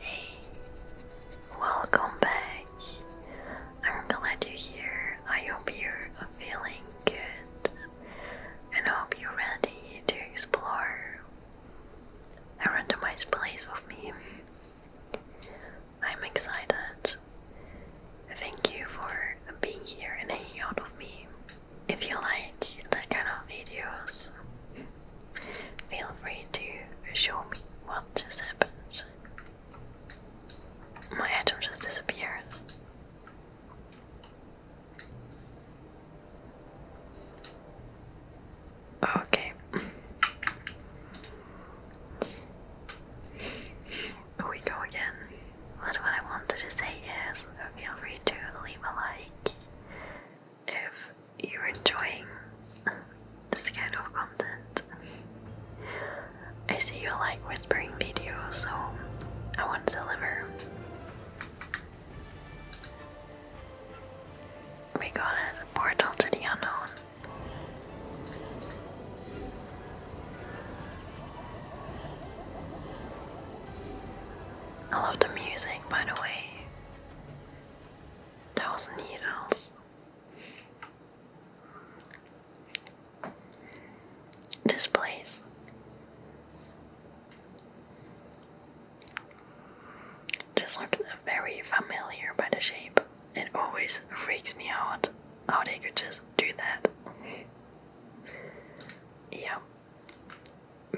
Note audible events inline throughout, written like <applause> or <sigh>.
Hey, welcome back. I'm glad you're here. I hope you're feeling good and I hope you're ready to explore a randomized place with me. I'm excited. Thank you for being here and hanging out with me. If you like the kind of videos, Feel free to show me what just happened. My item just disappeared. Okay. we go again. But what I wanted to say is feel free to leave a like if you're enjoying this kind of content. I see you like whispering videos, so I want to deliver. We got it, portal to unknown. I love the music, by the way thousand needles. This place. Just looks very familiar by the shape. It always freaks me out how they could just do that. <laughs> yeah,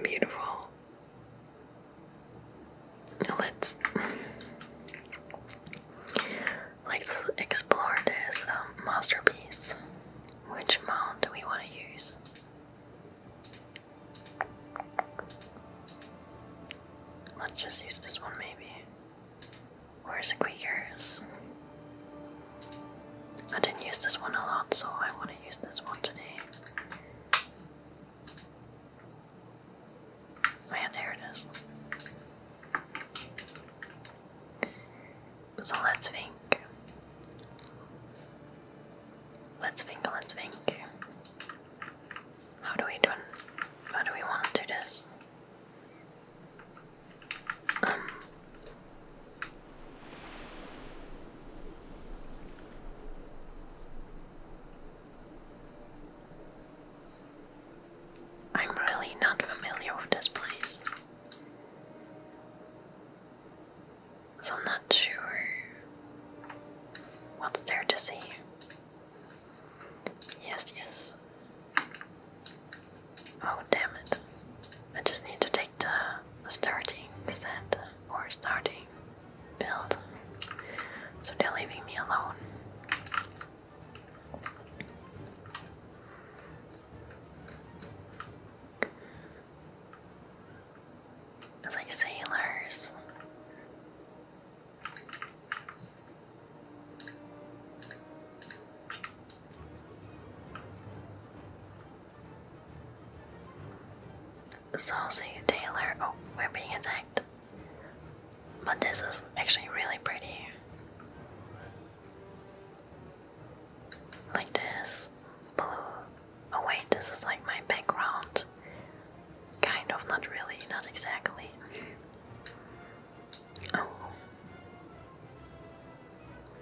beautiful. let's let's explore this um, masterpiece. Which mount do we want to use? Let's just use this one, maybe. Where's the Quakers? I didn't use this one a lot, so I want to use this one today. Man, there it is. So let's think. Let's think, let's think. How do we do how do we want to do this? Um I'm really not familiar with this place. So I'm not sure what's there to see. Yes, yes. Oh, damn it. I just need to take the starting set or starting build. So they're leaving me alone. It's like sailors. So Saucy Taylor. Oh, we're being attacked. But this is actually really pretty. Like this. Blue. Oh, wait, this is like my background. Kind of, not really, not exactly. Oh.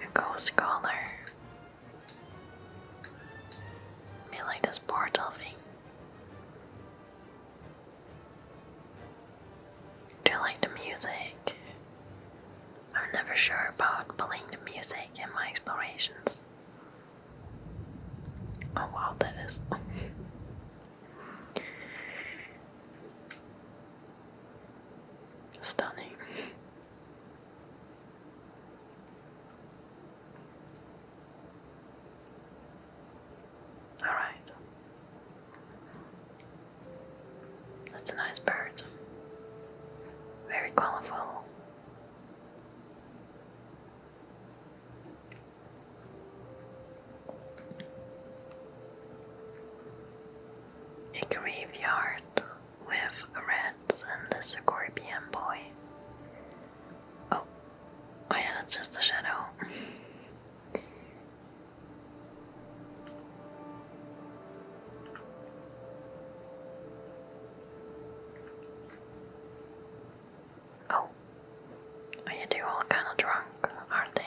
A ghost collar. I feel like this portal thing. Do you like the music? I'm never sure about playing the music in my explorations. Oh wow, that is. <laughs> Stunning. All right. That's a nice bird. Very colorful. It can with Reds and the Scorpion Boy. Oh, oh yeah, that's just a shadow. oh, oh they all kind of drunk, are they?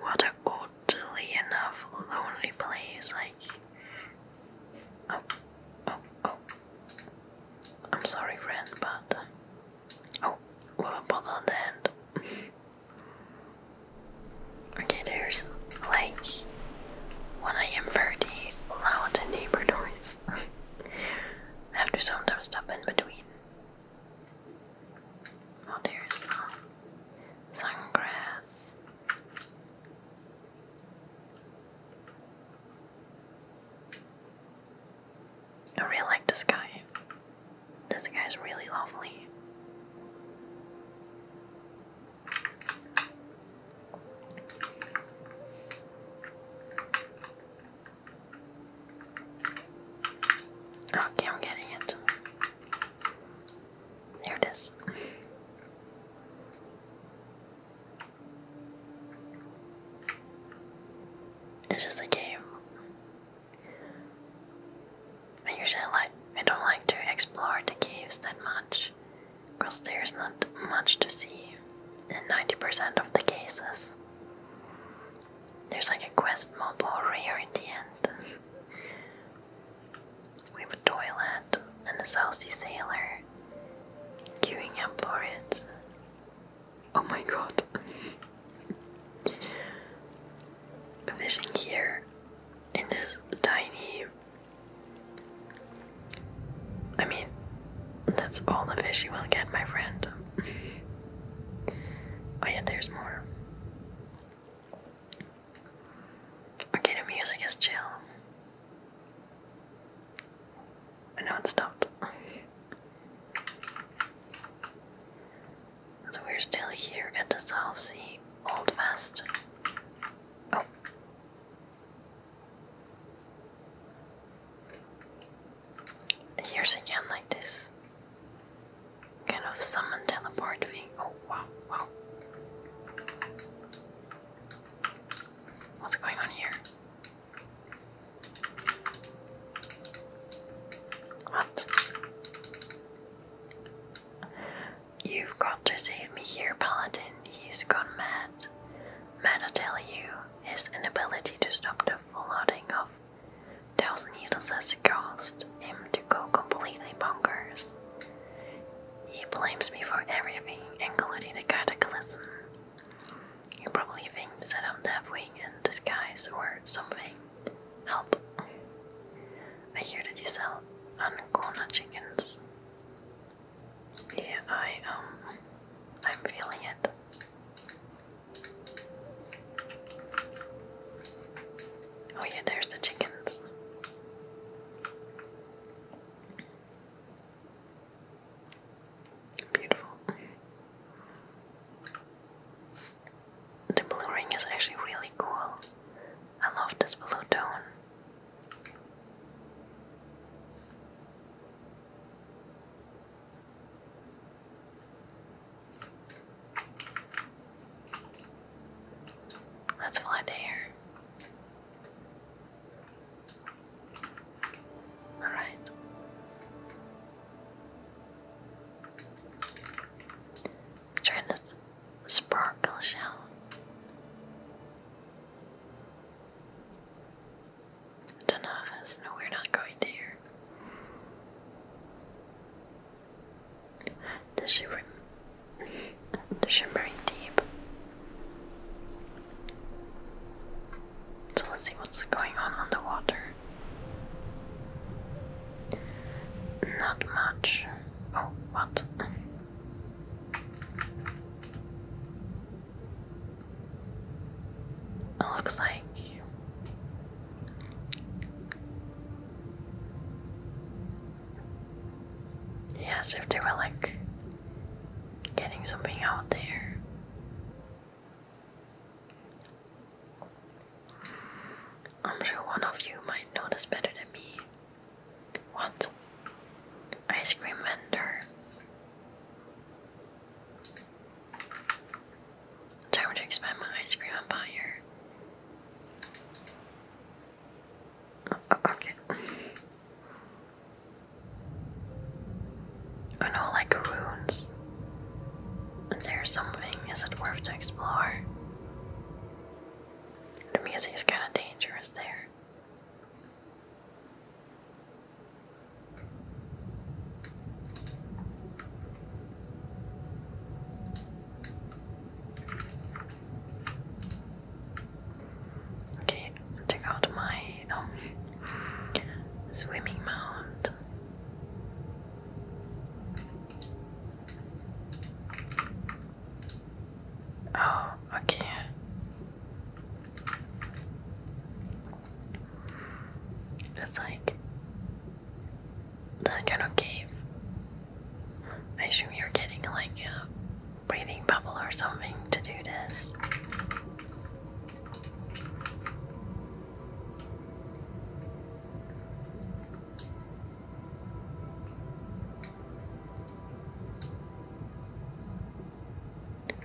What a oddly enough lonely place, like. Oh, oh, oh. I'm sorry, friend, but. Oh, with a bottle on the end. okay, there's like. When I am very loud neighbor noise. <laughs> I have to sometimes stop in between Oh, there's some sungrass. I really like this guy. This guy is really lovely. Okay, I'm getting it. There it is. It's just a game. I usually like I don't like to explore the caves that much because there's not much to see in 90% of the cases. There's like a quest mob over here at the end. we have a toilet and a saucy sailor queuing up for it. Oh my god. Fishing here in this tiny. I mean, that's all the fish you will get, my friend oh yeah, there's more. Okay, the music is chill. And now it stopped. so we're still here at the South Sea Old Fest. Oh. Here's again like this. Kind of summon teleport thing. Oh wow, wow. What's going on here? What? You've got to save me here, Paladin. He's gone mad. Mad, I tell you. His inability to stop the flooding of those needles has caused him to go completely bonkers. He blames me for everything, including the cataclysm. He probably thinks that I'm Deathwing in disguise or something. Help. I hear that you sell Ancona chickens. Yeah, I, um, I'm feeling it. Oh, yeah, there's the chickens. Beautiful. The blue ring is actually really cool. I love this blue tone. Let's fly to here. All right. It's trying sparkle shell do to novice. No, we're not going there. The shimmering, the shimmering deep. So let's see what's going on on the water. Not much. Oh, what? It looks like yeah, if they were like getting something out there. I'm sure one of you might know better than me. What? Ice cream vendor. Time to expand my ice cream empire. Uh, uh, uh, okay. I oh, know, like runes. There's something. Is it worth to explore? The music's kind of dangerous there. Okay, check out my um, swimming mount. Oh, okay. It's like that kind of cave. I assume you're getting like a breathing bubble or something to do this.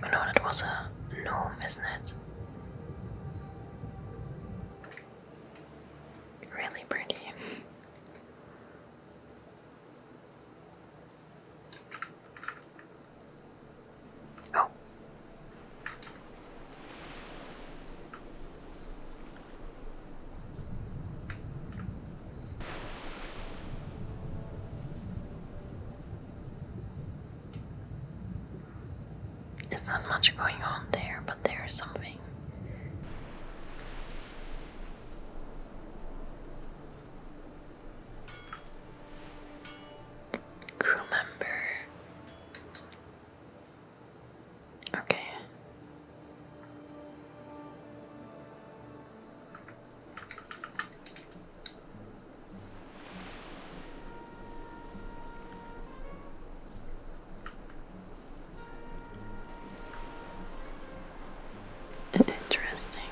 Oh no, that was a gnome, isn't it? Really pretty. oh. It's not much going on there, but there is something. Crew member. Okay. Interesting.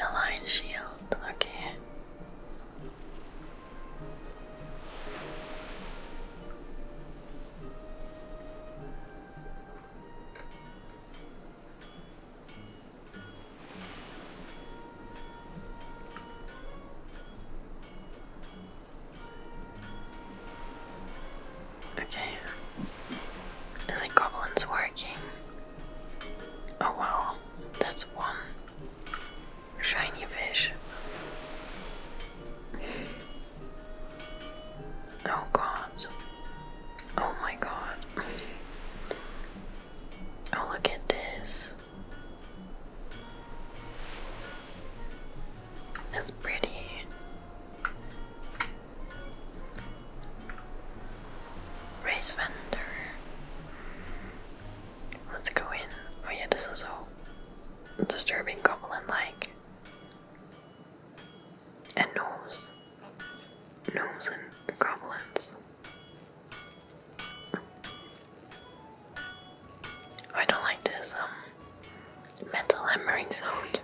Aligned shield, okay. Okay. Is it goblins working? Oh wow, that's one shiny fish. oh god. Oh my god. Oh, look at this. That's pretty. Race vendor. Let's go in. Oh yeah, this is all disturbing goblin-like. And gnomes. and goblins. I don't like this um metal hammering sound.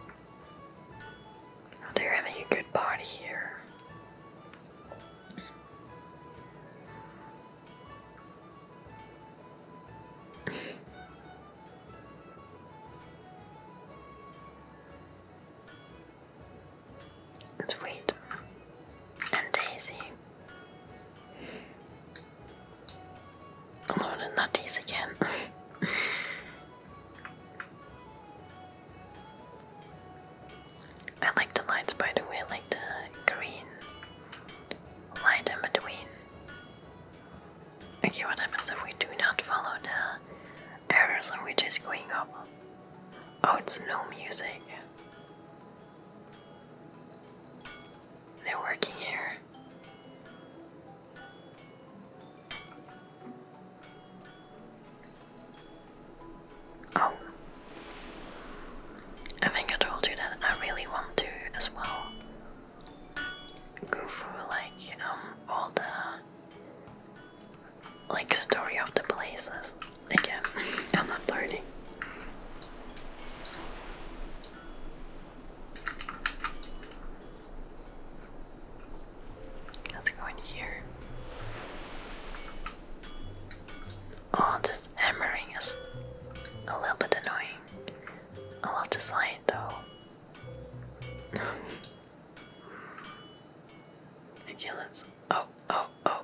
<laughs> they're having a good party here. <laughs> Sweet and Daisy. No, not these again. <laughs> I like the lights, by the way. like the green light in between. Okay, what happens if we do not follow the arrows and we're just going up? Oh, it's no music. They're working here. Oh. I think I told you that I really want to as well go through like um, all the like story of the places. Again, <laughs> I'm not learning. Let's go in here. Oh, this hammering is a little bit annoying. I love this light though. <laughs> I let's oh oh oh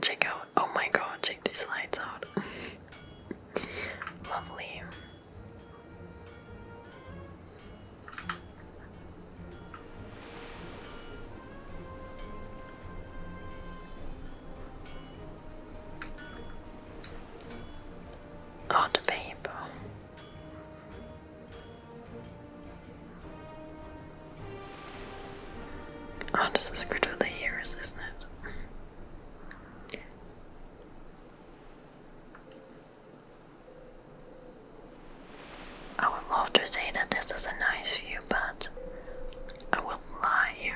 check out oh my god check these lights out <laughs> lovely Oh, the babe. Oh, this is good for the ears, isn't it? I would love to say that this is a nice view, but I will lie.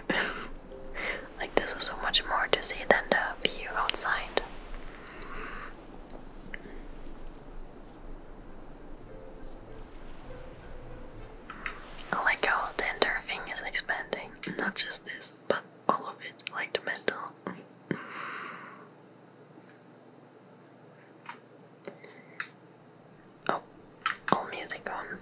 <laughs> like, this is so much more to see than the view outside. Like how the entire is expanding, not just this, but all of it, like the oh, all music on.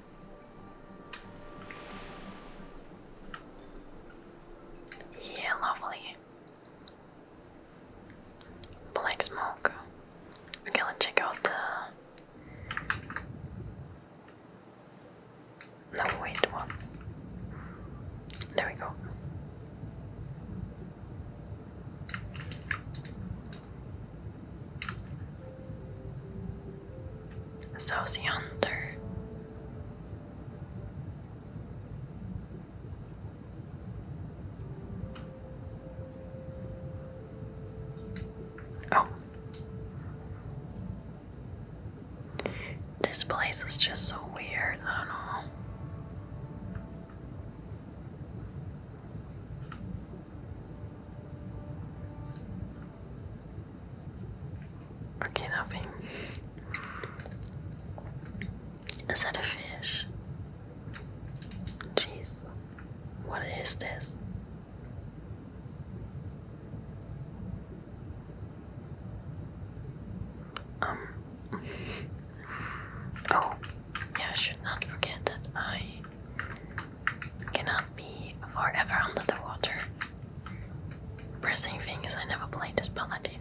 Yeah, lovely. Black smoke. Okay, let's check out the. No, wait, what? There we go. Saucy Hunter. Oh. This place is just so weird. I don't know. Okay, nothing. Is that a fish? Jeez. What is this? Um. <laughs> oh, yeah, should not forget that I cannot be forever under the water. Pressing things I never played as Paladin.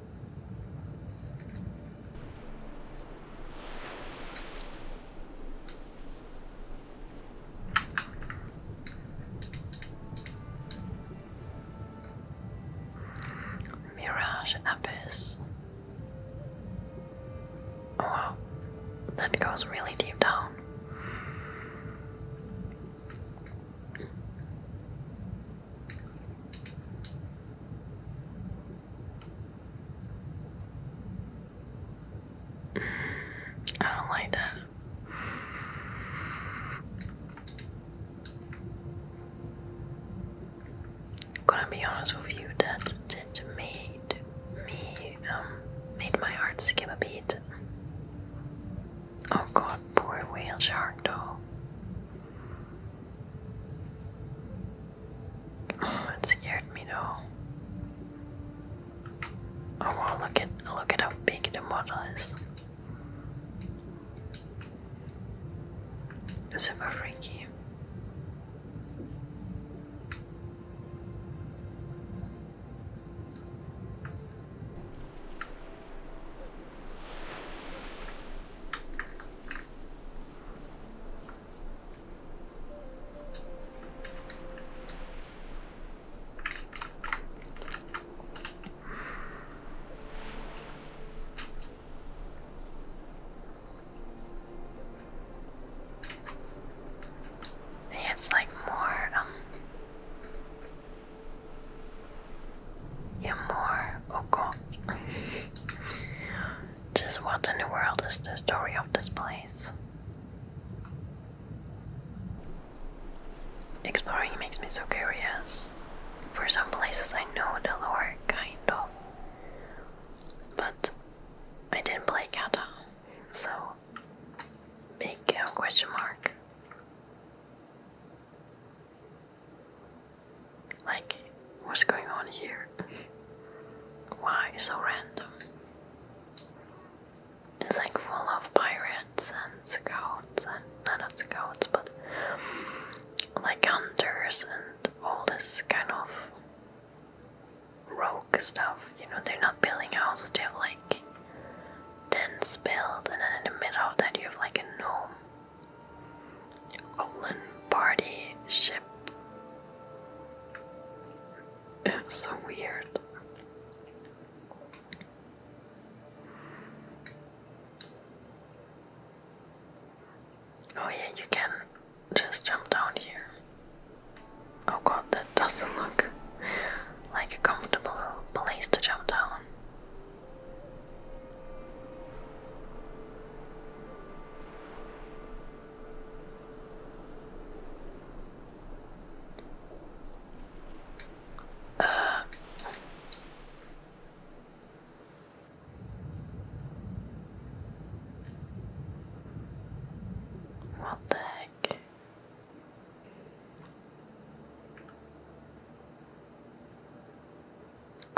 Mirage Abyss. Oh wow, that goes really deep down. I don't like that. Gonna be honest with you, that that made me um made my heart skip a beat. Oh god, poor whale shark though. Oh, scared me though. Oh wow, look at look at how big the model is. Super freaky. It's like more um you're more oh god. <laughs> Just what in the world is the story of this place? Exploring makes me so curious. For some places I know the lore, kind of. But I didn't play Kata, so big uh, question mark. Like, what's going on here? <laughs> Why so random? It's like full of pirates and scouts and not scouts, but like hunters and all this kind of rogue stuff. You know, they're not building houses, they have like dense build, and then in the middle that you have like a gnome. Goblin party ship. It's so weird. Oh yeah, you can just jump down here. Oh god, that doesn't look like a comfortable place to jump down. Uh, what the heck?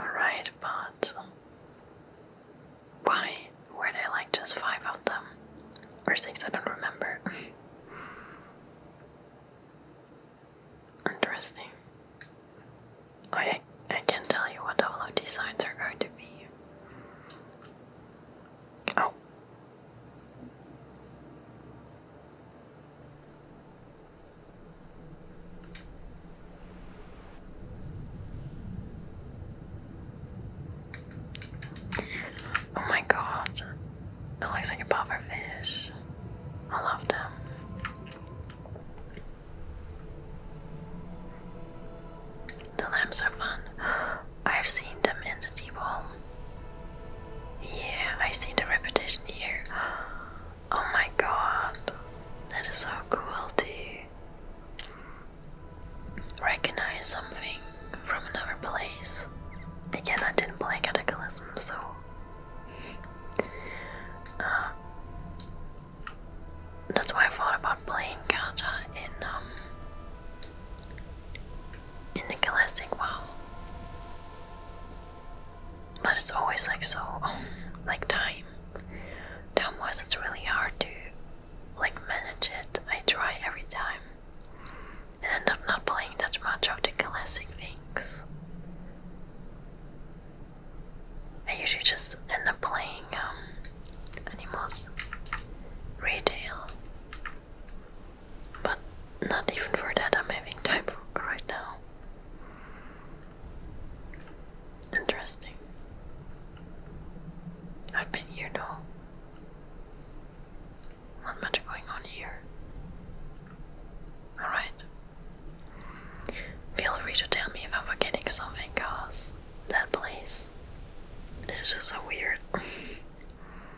Alright, but why were there like just five of them? Or six, I don't remember. <laughs> Interesting. I, I can tell you what all of these signs are going to be. Oh. Oh my god, it looks like a pufferfish. I love them. The lamps are fun. <gasps> I've seen them in the deep hole. Yeah, I see the repetition here. <gasps> Oh my god, that is so cool to recognize something from another place. Again, I didn't play Cataclysm, so. Uh, that's why I thought about playing Kata um, in the classic WoW but it's always like so um, like time time was it's really hard to like manage it i try every time and end up not playing that much of the classic things i usually just end up playing um animals retail but not even for that I'm having time for right now. Interesting. I've been here now. Not much going on here. Alright. Feel free to tell me if I'm forgetting something, cause that place is just so weird. <laughs>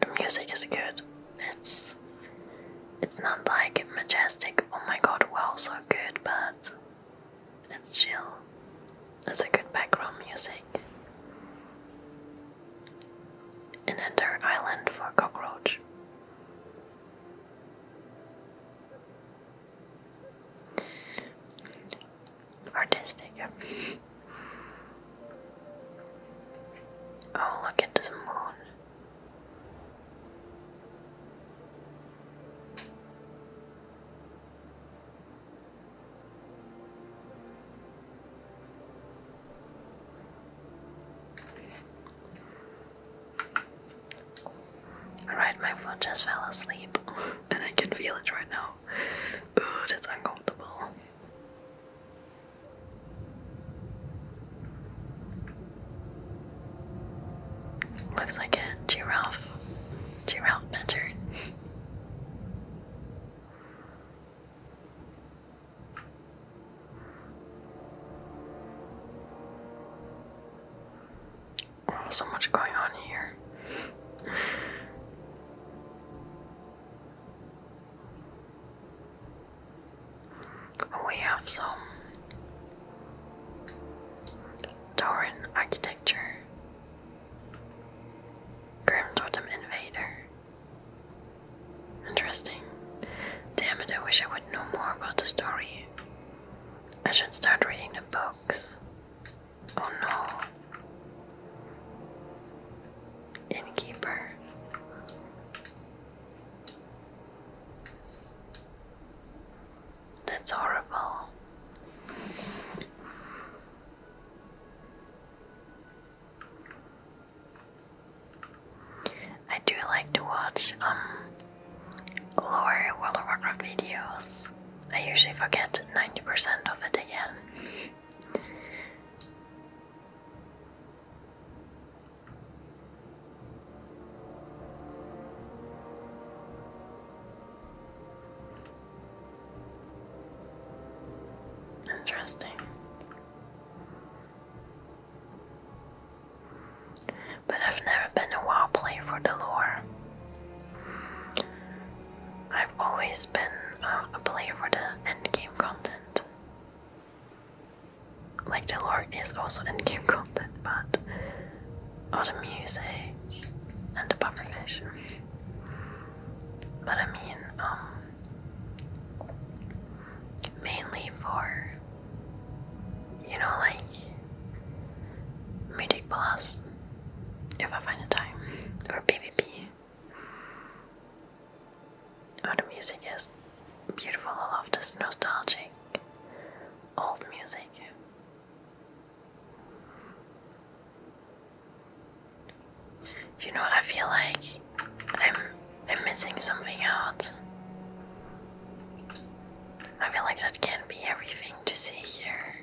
The music is good. It's it's not like majestic. Oh my god, wow, so good, but it's chill. It's a good background music. An entire island for cockroach artistic. oh, look at this moon. Alright, my phone just fell asleep <laughs> and I can feel it right now. Ooh, that's uncomfortable. Looks like a giraffe. Giraffe pattern. Oh, so much going on here. We have some Doran architecture, Grim Invader. Interesting. Damn it, I wish I would know more about the story. I should start reading the books. Oh no. Innkeeper. That's horrible. I do like to watch um lower World of Warcraft videos. I usually forget 90% of it again. Interesting. But I've never been a WoW player for the lore. I've always been uh, a player for the end game content. Like the lore is also end game content, but all the music and the pufferfish. But I mean, um, mainly for you know, like Mythic Plus, if I find the time, or PvP. Oh, the music is beautiful. I love this nostalgic old music. You know, I feel like I'm I'm missing something out. I feel like that can be everything to see here.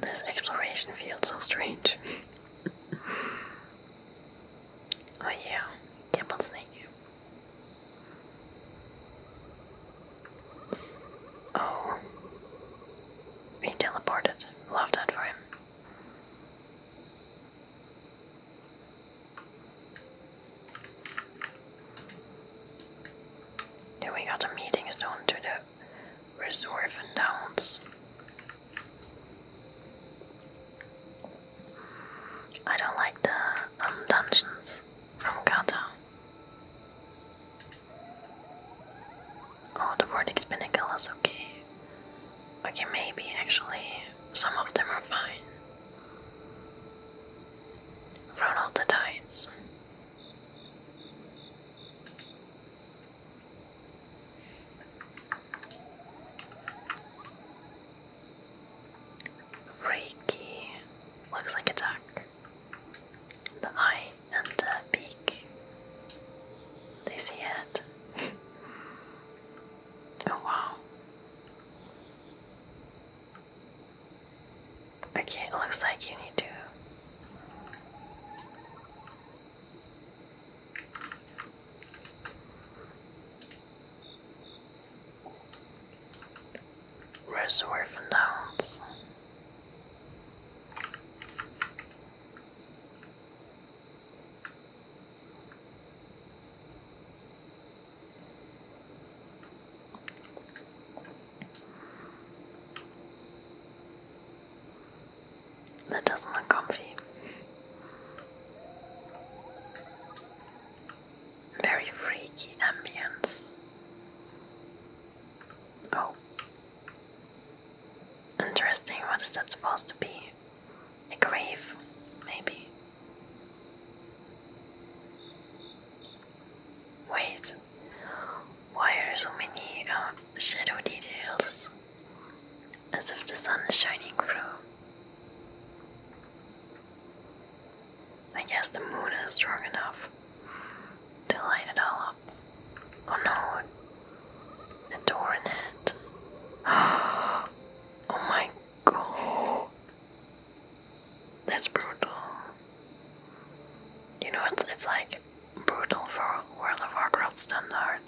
This exploration feels so strange. <laughs> oh yeah, Gimbal Snake. Oh. He teleported. Love that for him. Then we got the meeting stone to the Reserve and Downs. I don't like the um, dungeons from Kata. Oh, the Vortex Pinnacle okay. Okay, maybe actually some of them are fine. Run all Reiki looks like a duck. The eye and the beak. They see it. <laughs> oh wow. Okay, it looks like you need to. Reservoir that doesn't look comfy. Very freaky ambience. Oh. Interesting, what is that supposed to be? A grave, maybe? Wait, why are so many um, shadow details? As if the sun is shining through. I guess the moon is strong enough to light it all up. Oh no, a door in it. <gasps> Oh my god. That's brutal. You know, it's, it's like brutal for World of Warcraft standard.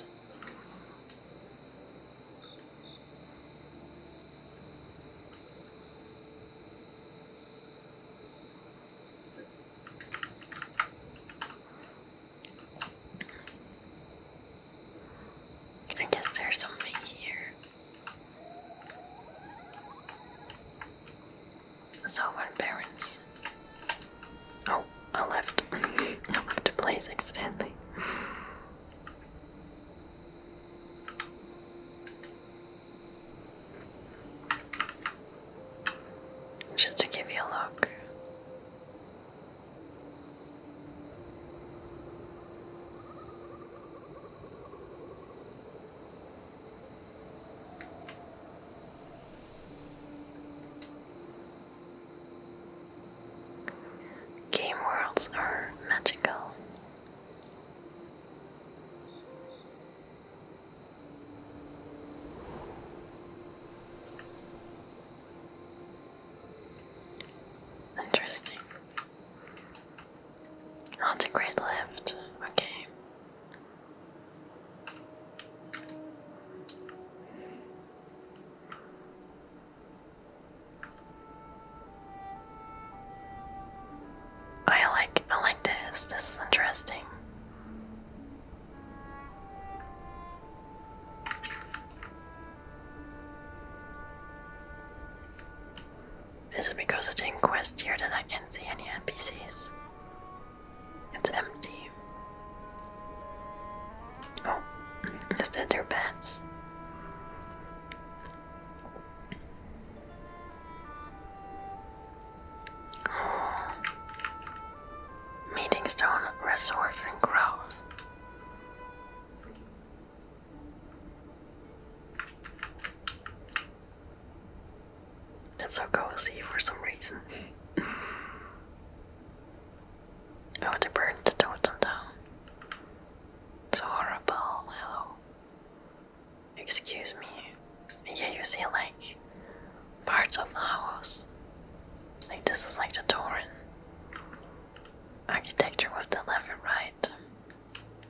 I guess there's something here. So, my parents Oh, I left. <laughs> I left the place accidentally. Just to give you a look. Game worlds are magical. Interesting. Oh, the great left. Okay. I like I like this. This is interesting. Is it because of the quest here that I can't see any NPCs? It's empty. Oh, is that their beds? Meeting Stone Reservoir and it's so cozy for some reason. I want to the totem It's horrible, hello. Excuse me. Yeah, you see like parts of the house. Like this is like the Torin architecture with the left and right.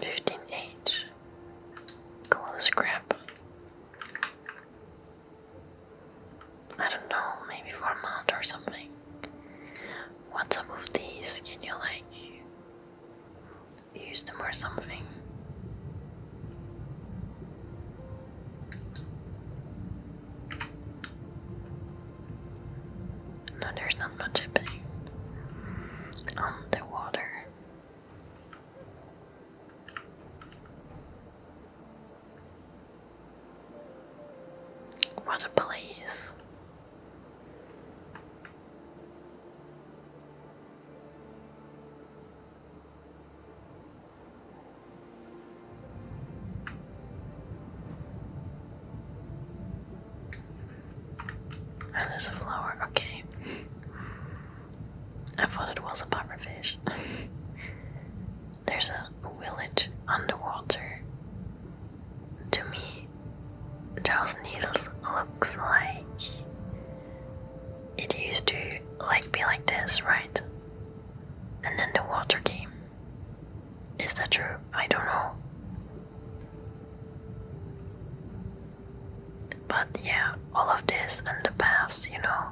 15H close grip. I don't know, maybe for a month or something. What's up with these? Can you like use them or something? No, there's not much happening on um, the water. What a place there's a flower. Okay. I thought it was a pufferfish. <laughs> there's a village underwater. To me, those needles looks like it used to like be like this, right? And then the water came. Is that true? I don't know. But yeah, all of this and the paths, you know,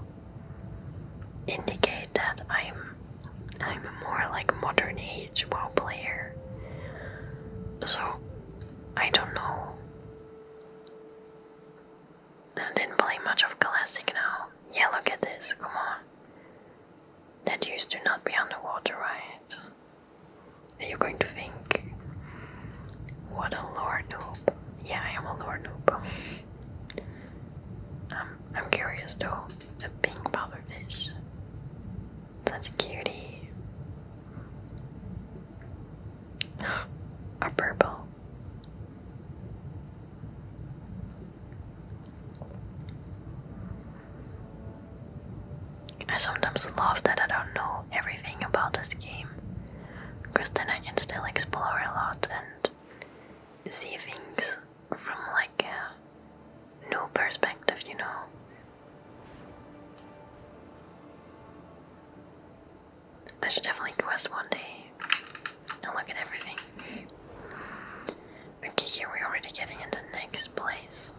indicate that I'm I'm a more like modern age WoW player. So I don't know. I didn't play much of classic now. Yeah, look at this, come on. That used to not be underwater, right? And you're going to think, what a lord noob. Yeah, I am a lord noob. <laughs> um, I'm curious though, the pink pufferfish. Such a cutie. a <laughs> purple. I sometimes love that I don't know everything about this game, because then I can still explore a lot and see things from like a new perspective, you know. I should definitely quest one day and look at everything. Okay, here we're already getting into the next place.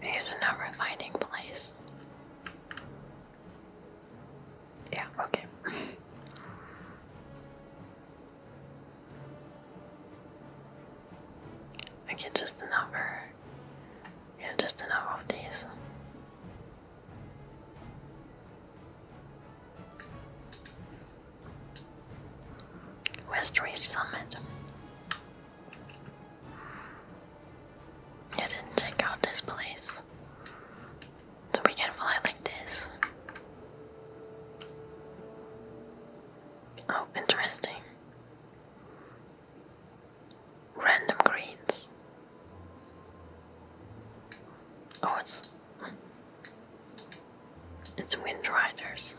Here's another finding place. Yeah, okay. <laughs> okay, just another. Yeah, just another of these. West Ridge Summit. I didn't check out this place. So we can fly like this. Oh, interesting. Random greens. Oh, it's it's Wind Riders.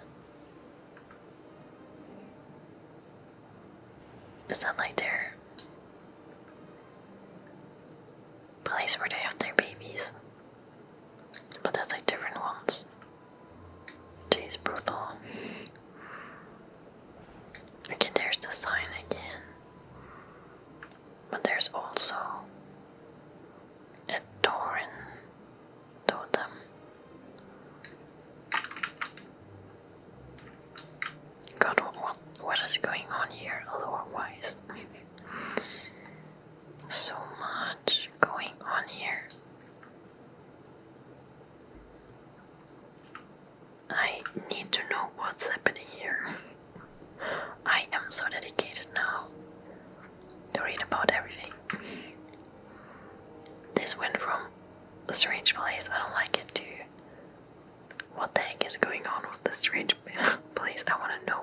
Is that like their place where they have their babies? But that's like different ones. Jeez, brutal. Okay, there's the sign again. But there's also a Tauren totem. God, what is going on here lore-wise? <laughs> so much going on here. I need to know what's happening here. <laughs> I am so dedicated now to read about everything. This went from a strange place, I don't like it, to what the heck is going on with this strange <laughs> place? I want to know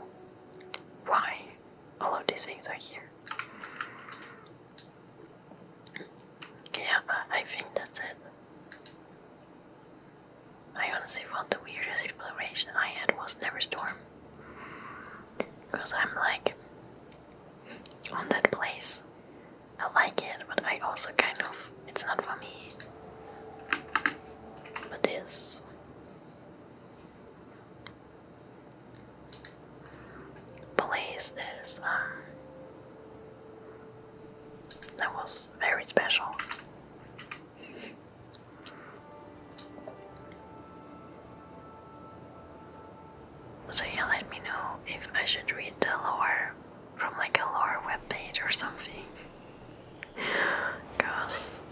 why all of these things are here. Yeah, I think that's it. I honestly thought the weirdest exploration I had was Never because I'm like on that place. I like it, but I also kind of. It's not for me. But this. Place is. Um, that was very special. So yeah, let me know if I should read the lore from like a lore webpage or something. <laughs> Cause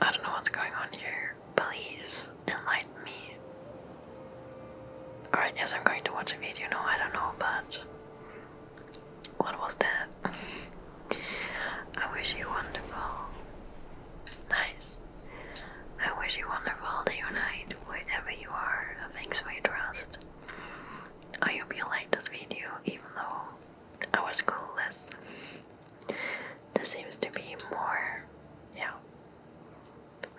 I don't know what's going on here. Please enlighten me. Alright, yes, I'm going to watch a video now, I don't know, but what was that? <laughs> I wish you wonderful. Nice. I wish you wonderful day or night, wherever you are. Thanks for your trust. I hope you liked this video, even though I was clueless. This seems to be more, yeah,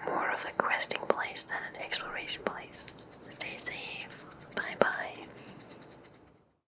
more of a questing place than an exploration place. Stay safe. Bye bye.